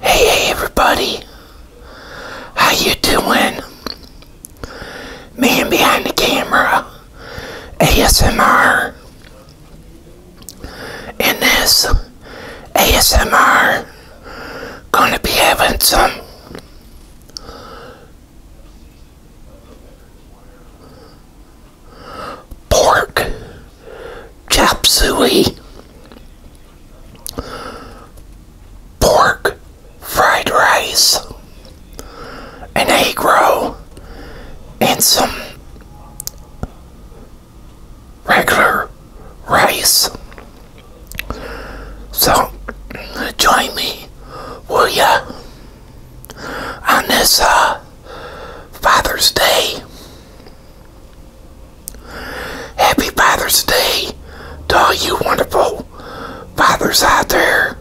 Hey, everybody, how you doing? Man behind the camera, ASMR, in this ASMR, gonna be having some pork chop suey pork fried rice an egg roll and some regular rice so join me will ya on this uh, Father's Day Happy Father's Day to all you wonderful fathers out there.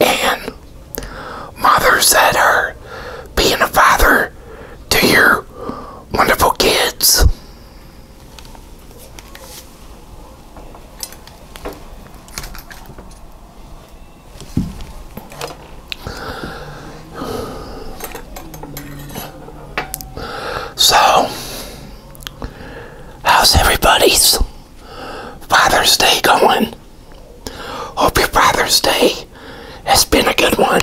And mothers that are being a father to your wonderful kids. So, how's everybody's Father's Day going? Hope your Father's Day has been a good one.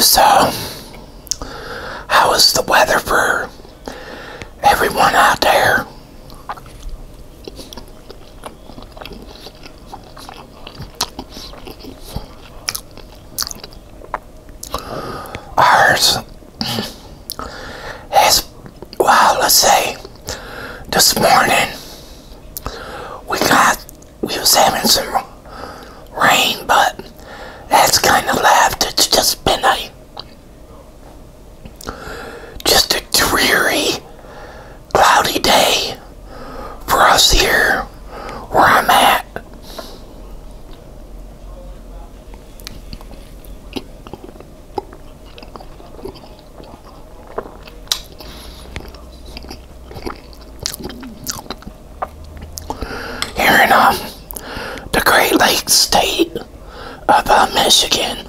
So, how is the weather for everyone out there? Ours has, well, let's say this morning we got, we was having some rain, but that's kind of left. It's just been a, just a dreary cloudy day for us here where I'm at. Here in um, the Great Lakes state of uh, Michigan.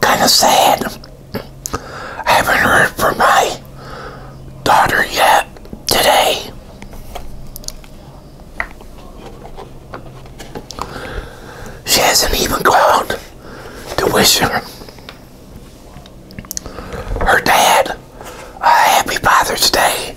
Kind of sad. I haven't heard from my daughter yet today. She hasn't even called to wish her, her dad a happy Father's Day.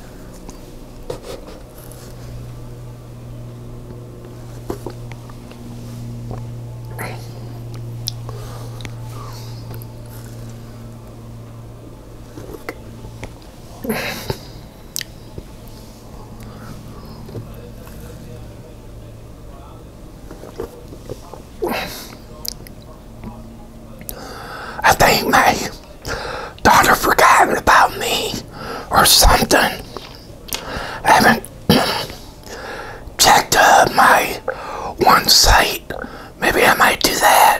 I think my daughter forgot about me or something. I haven't checked uh, my one site. Maybe I might do that.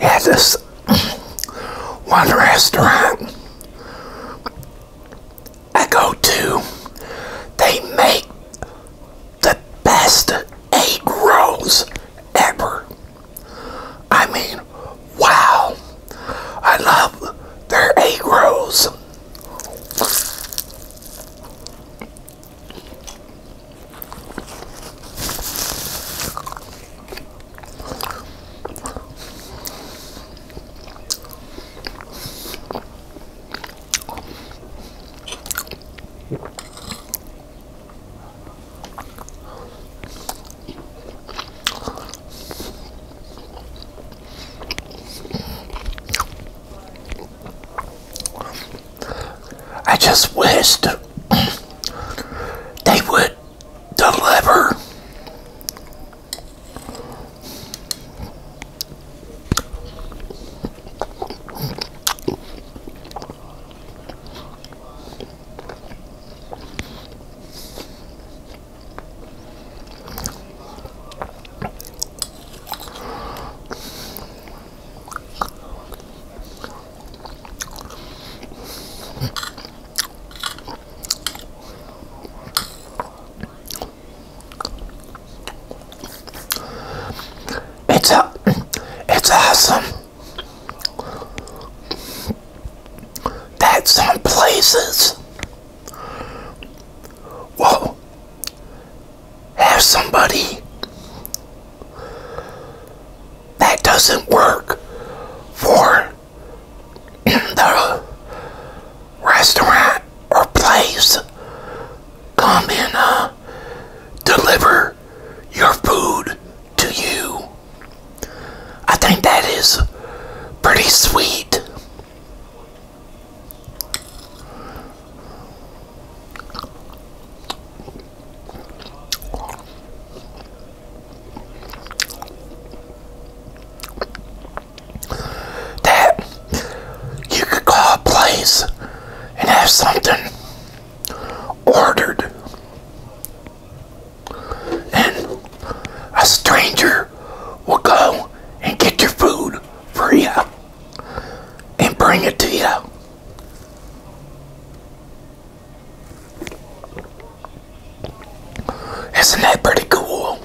Yeah, this one restaurant I go to, they make the best egg rolls ever. I mean, wow. I love their egg rolls. I just wished they would deliver. It's a, it's awesome that some places will have somebody that doesn't work for the restaurant or place. Come and uh, deliver your food to you. I think that is pretty sweet that you could call a place and have something ordered and a stranger will go and get your food for you and bring it to you. Isn't that pretty cool?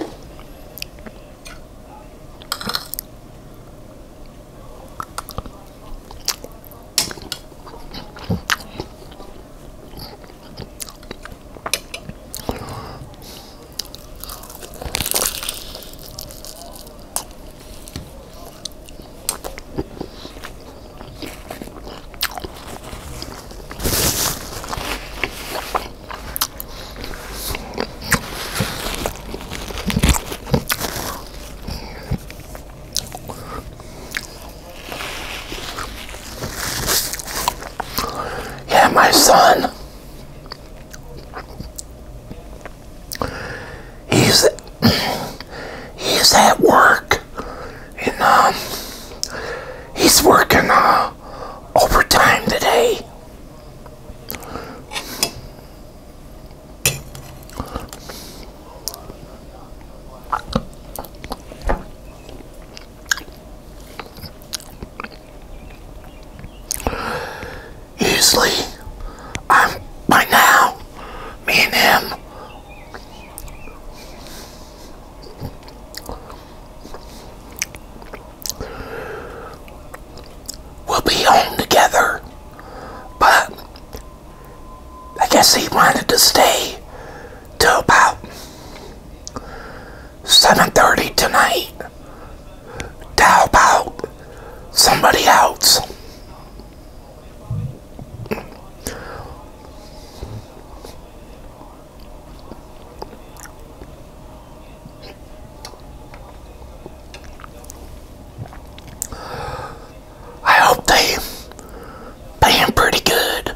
Yeah, my son. He's he's at work and um, he's working uh, overtime today. Usually, I'm by now, me and him We'll be home together, but I guess he wanted to stay till about 7.30 tonight to help out somebody else. I hope they pay him pretty good.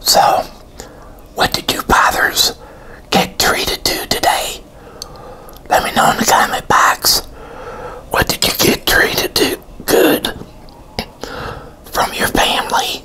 So, what did you bothers get treated to today? Let me know in the comment box. What did you get treated to good from your family?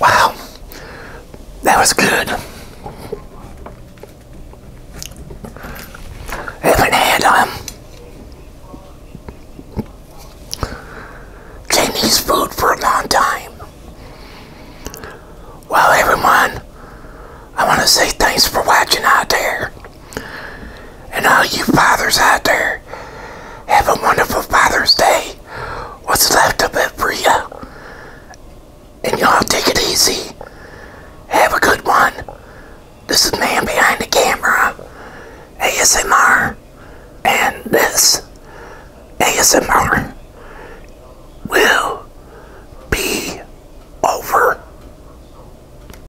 Wow, that was good. Haven't had um, Chinese food for a long time. Well, everyone, I want to say thanks for watching out there. And all you fathers out there, have a wonderful Father's Day. What's left of it for you? And y'all take it easy. Have a good one. This is Man Behind the Camera, ASMR, and this ASMR will be over.